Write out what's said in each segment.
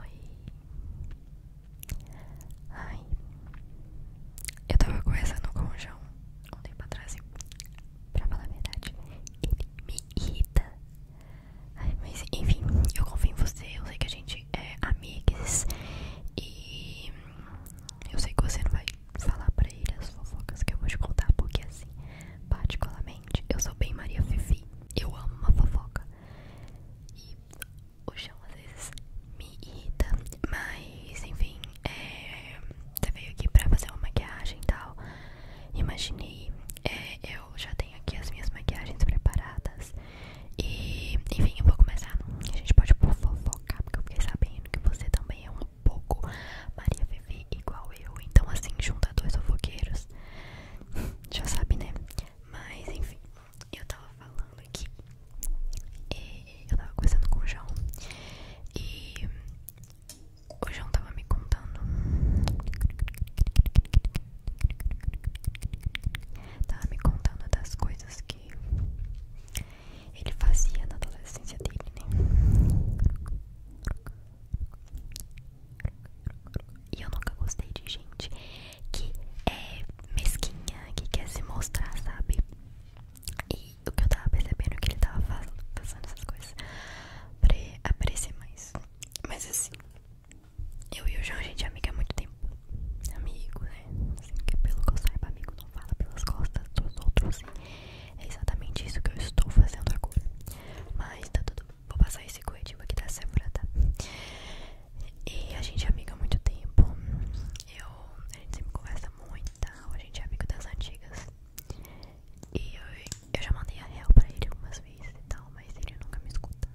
Oi. Ai. Eu tava conversando com o João um tempo atrás e, pra falar a verdade, ele me irrita. mas enfim, eu confio em você. Eu sei que a gente é amigas e eu sei que você não vai falar pra ele as fofocas que eu vou te contar, porque assim, particularmente eu sou bem Maria Fifi. Eu amo uma fofoca. E o chão às vezes me irrita. Mas, enfim, é, você veio aqui pra fazer uma maquiagem e tal. Imaginei, é, eu já tenho aqui as minhas maquiagens preparadas. E, enfim, eu vou começar. A gente pode por fofocar, porque eu fiquei sabendo que você também é um pouco Maria Fifi igual eu. Então, assim, junta dois fofoqueiros. já sabe, né? Mas enfim, eu tava falando aqui, eu tava conversando com o João, e o João tava me contando. Tava me contando das coisas que ele fazia na adolescência dele, né? E eu nunca gostei de gente que é mesquinha, que quer se mostrar, sabe? E o que eu tava percebendo é que ele tava fazendo essas coisas pra aparecer mais. Mas assim, eu e o João, gente, é amiga há muito tempo. Amigo, né? Assim, que pelo que eu saiba, amigo não fala pelas costas dos outros. É exatamente isso que eu estou fazendo agora. Mas tá tudo Vou passar esse corretivo aqui da semana tá? E a gente é amiga há muito tempo. Eu, a gente sempre conversa muito, tá? A gente é amigo das antigas. E eu, já mandei a real pra ele algumas vezes e tal, mas ele nunca me escuta.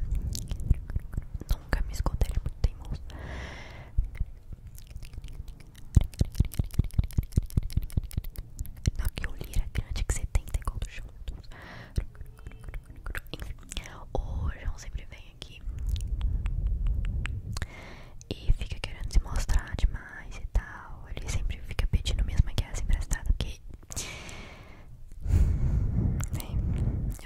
Nunca me escuta, ele é muito teimoso. Na que o lira grande que você tem, tem igual do enfim, o João sempre vem aqui e fica querendo se mostrar demais e tal. Ele sempre fica pedindo minhas maquiagens assim, emprestadas, porque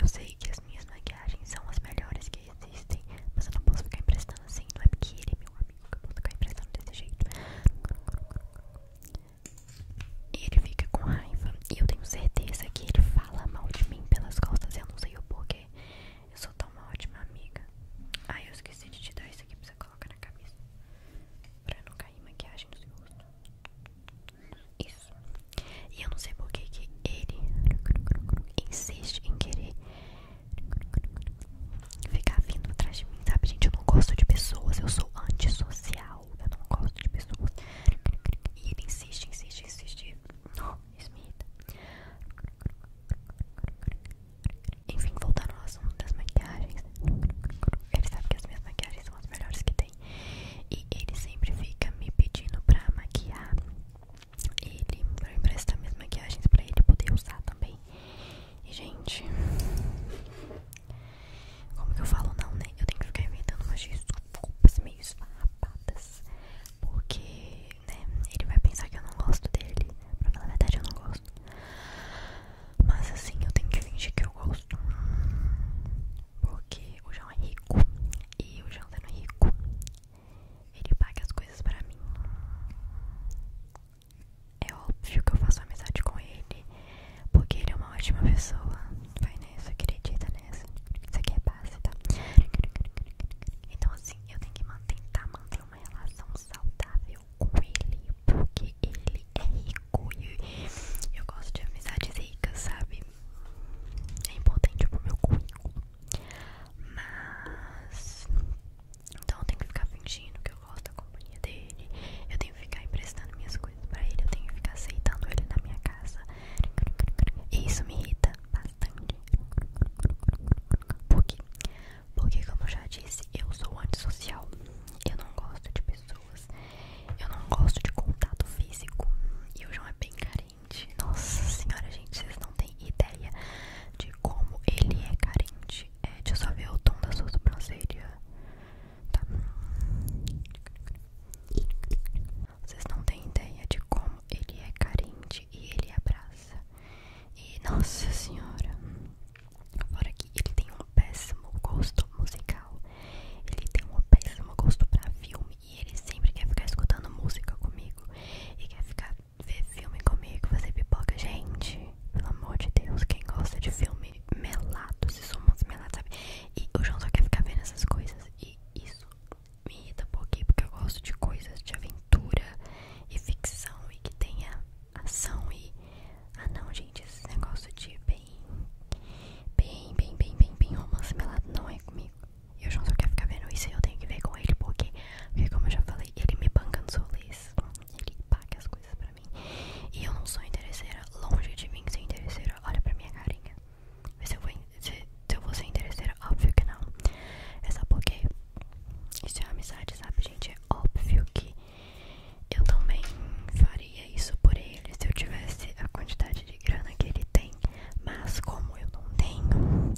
eu sei que as minhas maquiagens são as melhores que existem, mas eu não posso ficar emprestando assim. Não é porque ele é meu amigo que eu posso ficar emprestando desse jeito. E ele fica com raiva. E eu tenho certeza que ele fala mal de mim pelas costas. Eu não sei o porquê. Eu sou tão uma ótima amiga. Ai, ah, eu esqueci de te dar isso aqui pra você colocar na cabeça. Pra não cair maquiagem no seu rosto. Isso. E eu não sei porquê que ele insiste em querer ficar vindo atrás de mim, sabe? Gente, eu não gosto de pessoas, eu sou antissocial, eu não gosto de pessoas. E ele insiste, insiste, insiste. Não, Smith. Enfim, voltando ao assunto das maquiagens. Ele sabe que as minhas maquiagens são as melhores que tem. E ele sempre fica me pedindo pra maquiar. Ele pra emprestar minhas maquiagens pra ele poder usar também. E, gente, como que eu falo não, né? Eu tenho que ficar inventando umas desculpas meio esfarrapadas. Porque, né, ele vai pensar que eu não gosto dele. Pra falar a verdade, eu não gosto. Mas, assim, eu tenho que fingir que eu gosto. Porque o João é rico. E o João sendo rico, ele paga as coisas pra mim. É óbvio que eu faço amizade com ele, porque ele é uma ótima pessoa. Vai nessa, acredita nessa. Isso aqui é base, tá? Então, assim, eu tenho que manter, tentar manter uma relação saudável com ele, porque ele é rico e eu gosto de amizades ricas, sabe? É importante pro meu currículo. Mas. Então eu tenho que ficar fingindo que eu eu gosto da companhia dele, eu tenho que ficar emprestando minhas coisas pra ele, eu tenho que ficar aceitando ele na minha casa. E isso me irrita bastante. Por quê? Porque, como eu já disse, eu sou antissocial. Eu não gosto de pessoas. Eu não gosto de contato físico. E o João é bem carente. Nossa senhora, gente, vocês não têm ideia de como ele é carente. É, deixa eu só ver o tom da sua sobrancelha tá? Vocês não têm ideia de como ele é carente e ele abraça. E nossa senhora, fora que ele tem um péssimo gosto musical. Ele tem um péssimo gosto pra filme e ele sempre quer ficar escutando música comigo e quer ficar ver filme comigo, fazer pipoca. Gente, pelo amor de Deus, quem gosta de filme meio melado, esses sumos melados, sabe? E o João só quer ficar vendo essas coisas. E isso me irrita pouquinho, porque eu gosto de coisas de aventura e ficção e que tenha ação e. Ah não, gente, esse negócio de bem. Bem, bem, bem, bem, bem romance melado não é comigo. E o João só quer ficar vendo isso e eu tenho que ver com ele, porque, porque como eu já falei, ele me banca nos rolês. Ele paga as coisas pra e eu não sou interesseira. Longe de mim ser interesseira. Olha pra minha carinha. se eu vou, se, ser interesseira. Óbvio que não. É só porque isso é amizade, sabe, gente? É óbvio que eu também faria isso por ele se eu tivesse a quantidade de grana que ele tem. Mas como eu não tenho,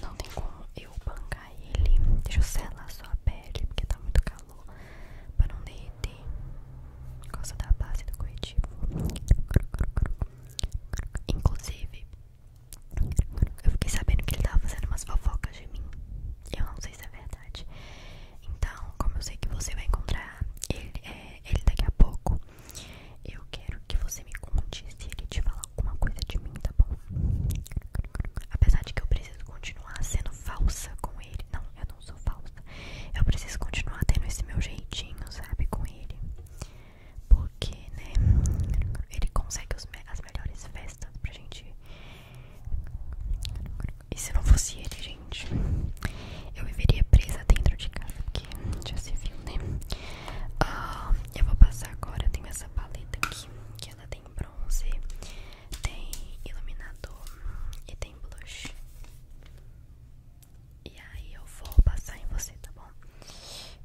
não tem como eu bancar ele. Deixa eu selar sua pele, porque tá muito caro calor para não derreter por da base do corretivo. Inclusive, eu fiquei sabendo que ele tava fazendo umas fofocas de mim. Eu não sei se é verdade. Então, como eu sei que você vai encontrar ele, é, ele daqui a pouco, eu quero que você me conte se ele te falar alguma coisa de mim, tá bom? Apesar de que eu preciso continuar sendo falsa com ele, ele. Não, eu não sou falsa. Eu preciso continuar tendo esse meu jeitinho, sabe? Com ele. Porque, né? Ele consegue os, as melhores festas pra gente E se não fosse ele, gente, eu viveria presa dentro de casa, porque já se viu, né? Ah, eu vou passar agora, eu tenho essa paleta aqui, que ela tem bronze, tem iluminador e tem blush. E aí eu vou passar em você, tá bom?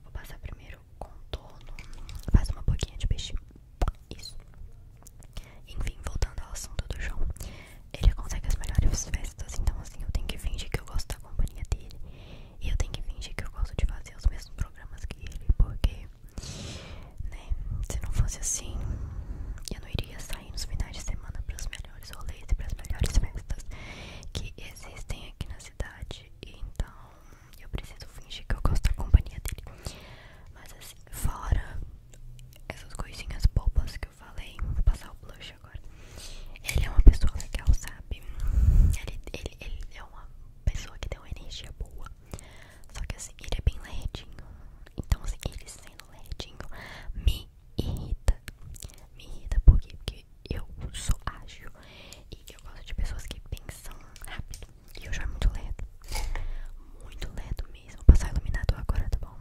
Vou passar primeiro contorno, faz uma boquinha de peixe. Isso. Enfim, voltando ao assunto do João, ele consegue as melhores festas, então assim eu tenho que fingir que eu gosto da companhia dele. E eu tenho que fingir que eu gosto de fazer os mesmos programas que ele, porque né? Se não fosse assim, eu não iria sair nos finais de semana para os melhores rolês e para as melhores festas que existem aqui na cidade. Então, eu preciso fingir que eu gosto da companhia dele. Mas assim, fora essas coisinhas bobas que eu falei, vou passar o blush agora. Ele é uma pessoa legal, sabe? Ele, ele, ele é uma pessoa que tem uma energia boa. Só que assim, ele é bem ledinho. Então assim, ele sendo ledinho me irrita. Me irrita porque eu sou ágil e eu gosto de pessoas que pensam rápido. E eu já é muito ledo. Muito ledo mesmo. Vou passar o iluminador agora, tá bom?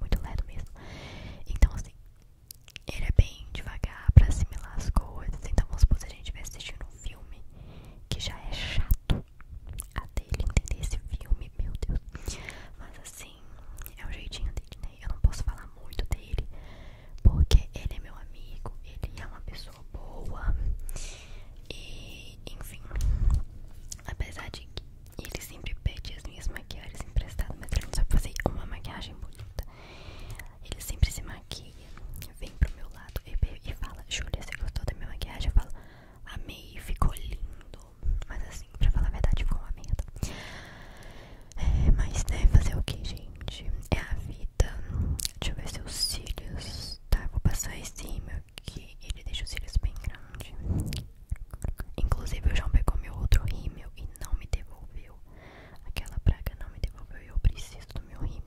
Muito ledo mesmo. Então assim, ele é bem devagar pra assimilar as coisas. Então vamos supor se a gente estivesse assistindo um filme que já é chato até ele entender esse filme, meu Deus. Mas assim, é o jeitinho dele, né? Eu não posso falar muito dele, porque ele é meu amigo, ele é uma pessoa boa. E, enfim, apesar de que ele sempre pede as minhas maquiagens emprestadas, mas ele não sabe fazer uma maquiagem bonita. Ele sempre se maquia, vem pro meu lado e, fala: "Julia, você gostou da minha maquiagem? Eu falo: Amei, ficou lindo. Mas assim, pra falar a verdade, ficou uma merda. É, mas né, fazer o que, gente? É a vida. Deixa eu ver se os cílios. Tá, vou passar esse rímel que ele deixa os cílios bem grandes. Inclusive, o João pegou meu outro rímel e não me devolveu. Aquela praga não me devolveu e eu preciso do meu rímel.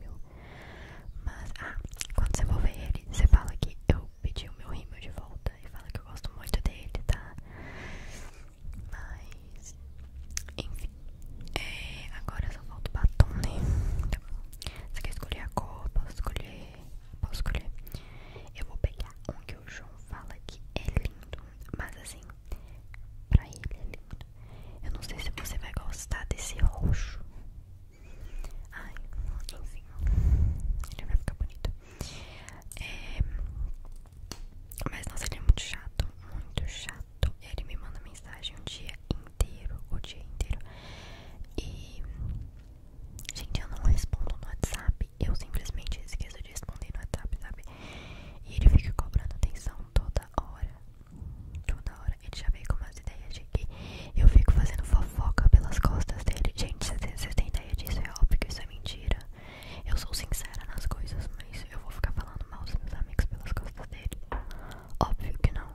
Mas, ah, quando você for ver ele, você fala que eu pedi o meu rímel de volta e fala que eu gosto muito dele, tá? Mas, enfim, é, agora só falta o batom, né? Tá você quer escolher a cor? Posso escolher? Posso escolher? Eu vou pegar um que o João fala que é lindo, mas assim, pra ele é lindo. Eu não sei se você vai gostar desse roxo. Ai, enfim, ele vai ficar bonito. É, mas nossa, ele é muito chato, muito chato. Ele me manda mensagem o um dia inteiro, o dia inteiro. E gente, eu não respondo no WhatsApp. Eu simplesmente esqueço de responder no WhatsApp, sabe? E ele fica cobrando atenção toda hora. Toda hora hora. Ele já veio com umas ideias de que eu fico fazendo fofoca pelas costas dele. Gente, você tem ideia disso? É óbvio que isso é mentira. Eu sou sincera nas coisas, mas eu vou ficar falando mal dos meus amigos pelas costas dele. Óbvio que não.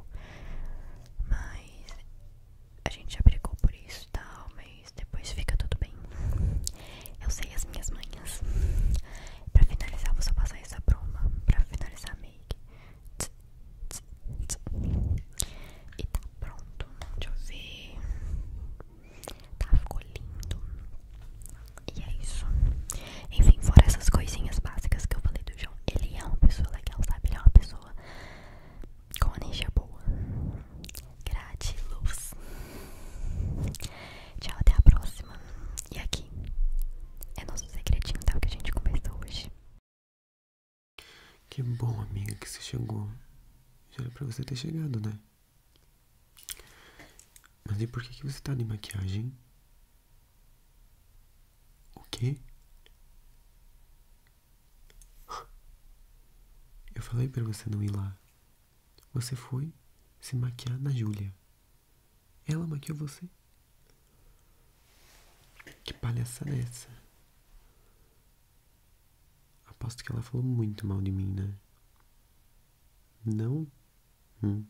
Mas a gente já brigou por isso e tal, mas depois fica tudo bem. Eu sei as minhas manhas. Pra finalizar, vou só passar essa broma. Pra finalizar a make. E tá pronto, deixa eu ver Tá, ficou lindo E é isso Enfim, fora essas coisinhas básicas que eu falei do João Ele é uma pessoa legal, sabe? Ele é uma pessoa com energia boa luz Tchau, até a próxima E aqui é nosso segredinho, tá? O que a gente conversou hoje que bom, amiga, que você chegou. Já era pra você ter chegado, né? Mas e por que, que você tá de maquiagem? O quê? Eu falei pra você não ir lá. Você foi se maquiar na Júlia. Ela maquiou você? Que palhaçada é essa? Aposto que ela falou muito mal de mim, né? Não? Hum.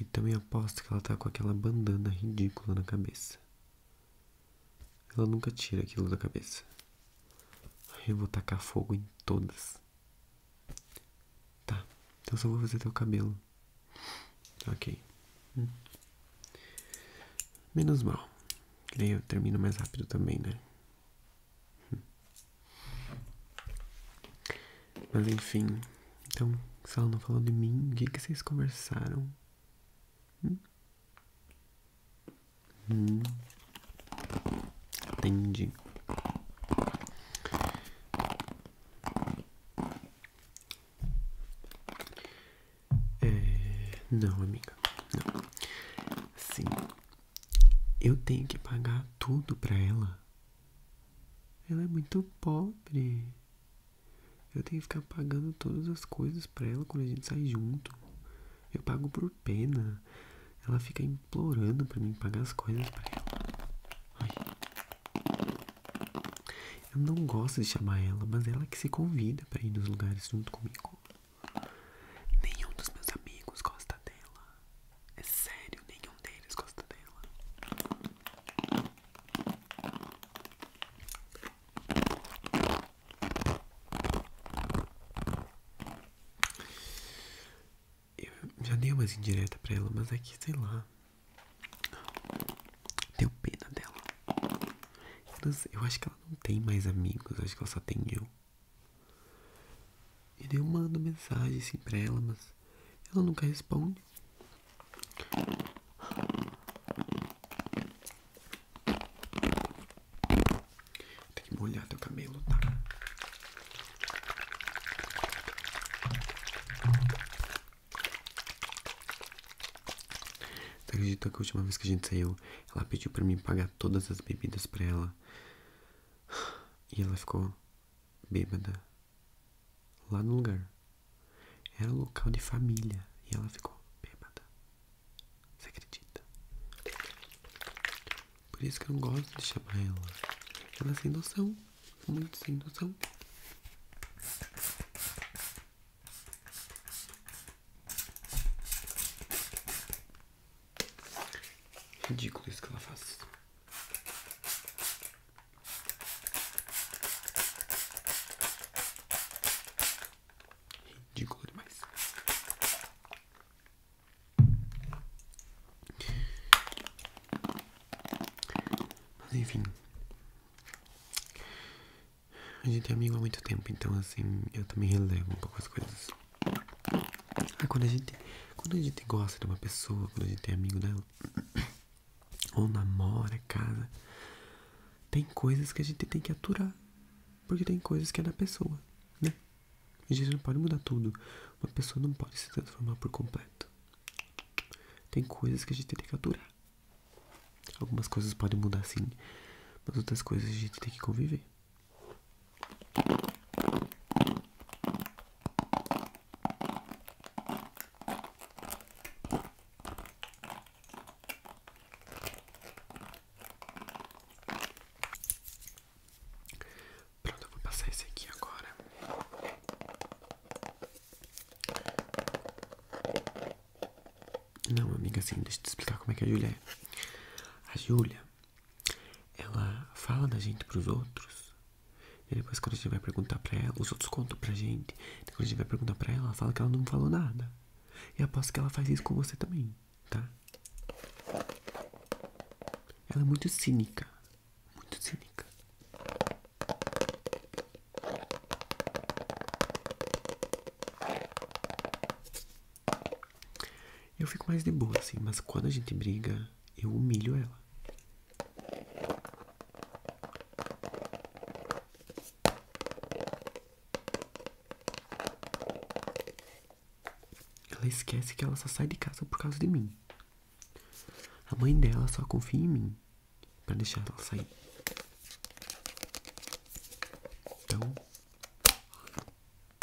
E também aposto que ela tá com aquela bandana ridícula na cabeça. Ela nunca tira aquilo da cabeça. Eu vou tacar fogo em todas. Tá, então só vou fazer teu cabelo. Ok. Menos mal. Que daí eu termino mais rápido também, né? Mas enfim. Então, se ela não falou de mim, o que, que vocês conversaram? Hum? Hum. Entendi. É, não, amiga, não. Sim, eu tenho que pagar tudo pra ela. Ela é muito pobre. Eu tenho que ficar pagando todas as coisas pra ela quando a gente sai junto. Eu pago por pena. Ela fica implorando pra mim pagar as coisas pra ela. Ai. Eu não gosto de chamar ela, mas ela que se convida para ir nos lugares junto comigo. Nenhum dos meus amigos gosta dela. É sério, nenhum deles gosta dela. Eu já dei umas indiretas pra ela, mas aqui é sei lá, tenho pena dela. Eu acho que ela não tem mais amigos, acho que ela só tem eu. E eu mando mensagem assim pra ela, mas ela nunca responde. Tem que molhar teu cabelo, tá? Você acredita que a última vez que a gente saiu, ela pediu para mim pagar todas as bebidas para ela. E ela ficou bêbada. Lá no lugar. Era um local de família. E ela ficou bêbada. Você acredita? Por isso que eu não gosto de chamar ela. Ela é sem noção muito sem noção. Ridículo isso que ela faz. Ridículo demais. Mas enfim. A gente é amigo há muito tempo, então assim, eu também relevo um pouco as coisas. Ah, quando a gente, quando a gente gosta de uma pessoa, quando a gente é amigo dela, ou namora, é casa, tem coisas que a gente tem que aturar, porque tem coisas que é da pessoa, né? A gente não pode mudar tudo. Uma pessoa não pode se transformar por completo. Tem coisas que a gente tem que aturar. Algumas coisas podem mudar sim, mas outras coisas a gente tem que conviver. Pronto, eu vou passar esse aqui agora. Não, amiga, assim, deixa eu te explicar como é que a Júlia é. A Júlia, ela fala da gente pros outros. E depois quando a gente vai perguntar pra ela, os outros contam pra gente. Depois a gente vai perguntar pra ela, ela fala que ela não falou nada. E aposto que ela faz isso com você também, tá? Ela é muito cínica muito cínica. Eu fico mais de boa assim, mas quando a gente briga, eu humilho ela. Ela esquece que ela só sai de casa por causa de mim. A mãe dela só confia em mim para deixar ela sair. Então.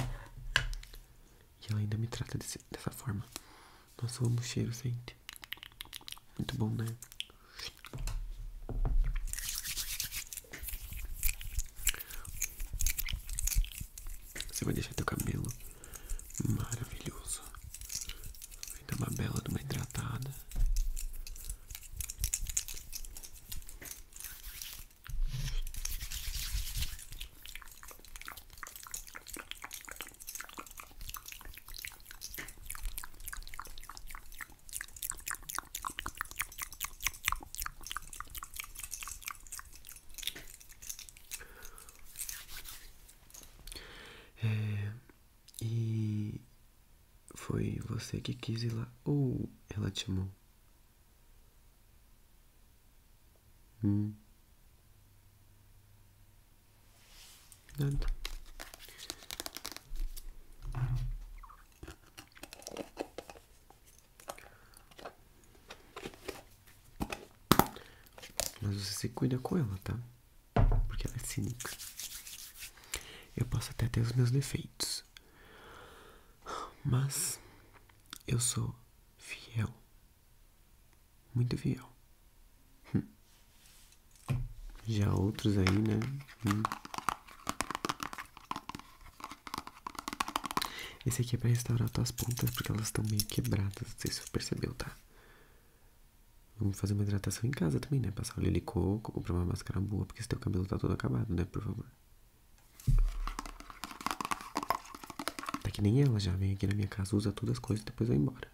E ela ainda me trata dessa forma. Nossa, eu amo cheiro, gente. Muito bom, né? Você vai deixar teu cabelo Maravilhoso. Vai dar uma bela de uma hidratada. É, e foi você que quis ir lá ou ela te amou? Hum? Nada. Mas você se cuida com ela, tá? porque ela é cínica. Eu posso até ter os meus defeitos, mas eu sou fiel, muito fiel. Hum. Já outros aí, né? Hum. Esse aqui é pra restaurar tuas pontas porque elas estão meio quebradas, não sei se você percebeu, tá? Vamos fazer uma hidratação em casa também, né? Passar o de coco, comprar uma máscara boa, porque se teu cabelo tá todo acabado, né? Por favor. Tá que nem ela já vem aqui na minha casa, usa todas as coisas e depois vai embora.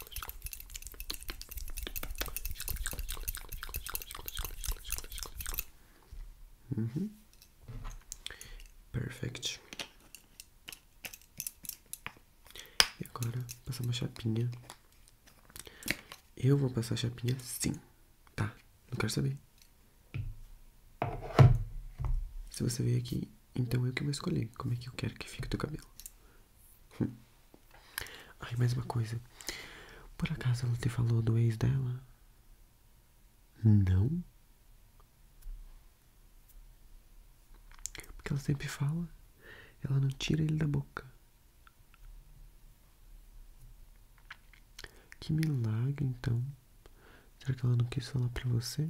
Uhum. Perfect. E agora passar uma chapinha. Eu vou passar a chapinha sim. Tá, não quero saber. Se você veio aqui então eu que vou escolher como é que eu quero que fique o teu cabelo. Ai, mais uma coisa. Por acaso ela te falou do ex dela? Não? Porque ela sempre fala. Ela não tira ele da boca. Que milagre, então. Será que ela não quis falar pra você?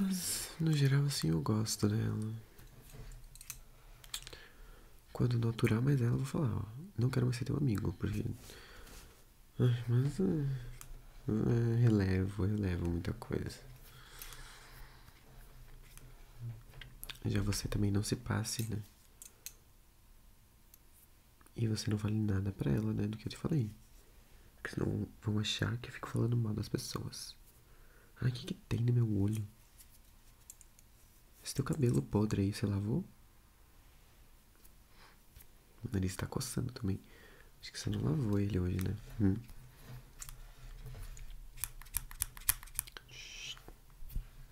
Mas no geral assim eu gosto dela. Quando não aturar mais ela, eu vou falar, não quero mais ser teu amigo, porque. Ai, mas uh, relevo, relevo muita coisa. Já você também não se passe, né? E você não vale nada para ela, né? Do que eu te falei. Porque senão vão achar que eu fico falando mal das pessoas. Ai, o que, que tem no meu olho? Esse teu cabelo podre aí, você lavou? O nariz tá coçando também. Acho que você não lavou ele hoje, né? Hum.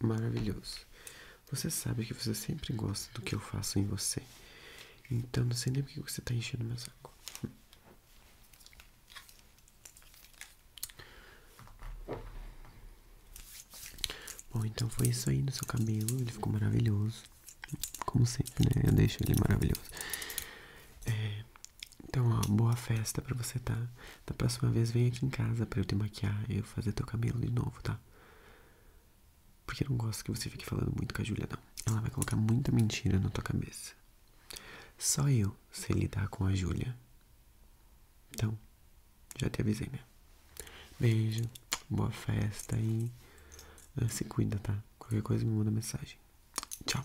maravilhoso. Você sabe que você sempre gosta do que eu faço em você. Então não sei nem porque você tá enchendo meu saco. Bom, então foi isso aí no seu cabelo. Ele ficou maravilhoso. Como sempre, né? Eu deixo ele maravilhoso. É, então, ó, boa festa pra você, tá? Da próxima vez, vem aqui em casa pra eu te maquiar e eu fazer teu cabelo de novo, tá? Porque eu não gosto que você fique falando muito com a Júlia, não. Ela vai colocar muita mentira na tua cabeça. Só eu sei lidar com a Júlia. Então, já te avisei, né? Beijo, boa festa e ah, se cuida, tá? Qualquer coisa me manda mensagem. Tchau.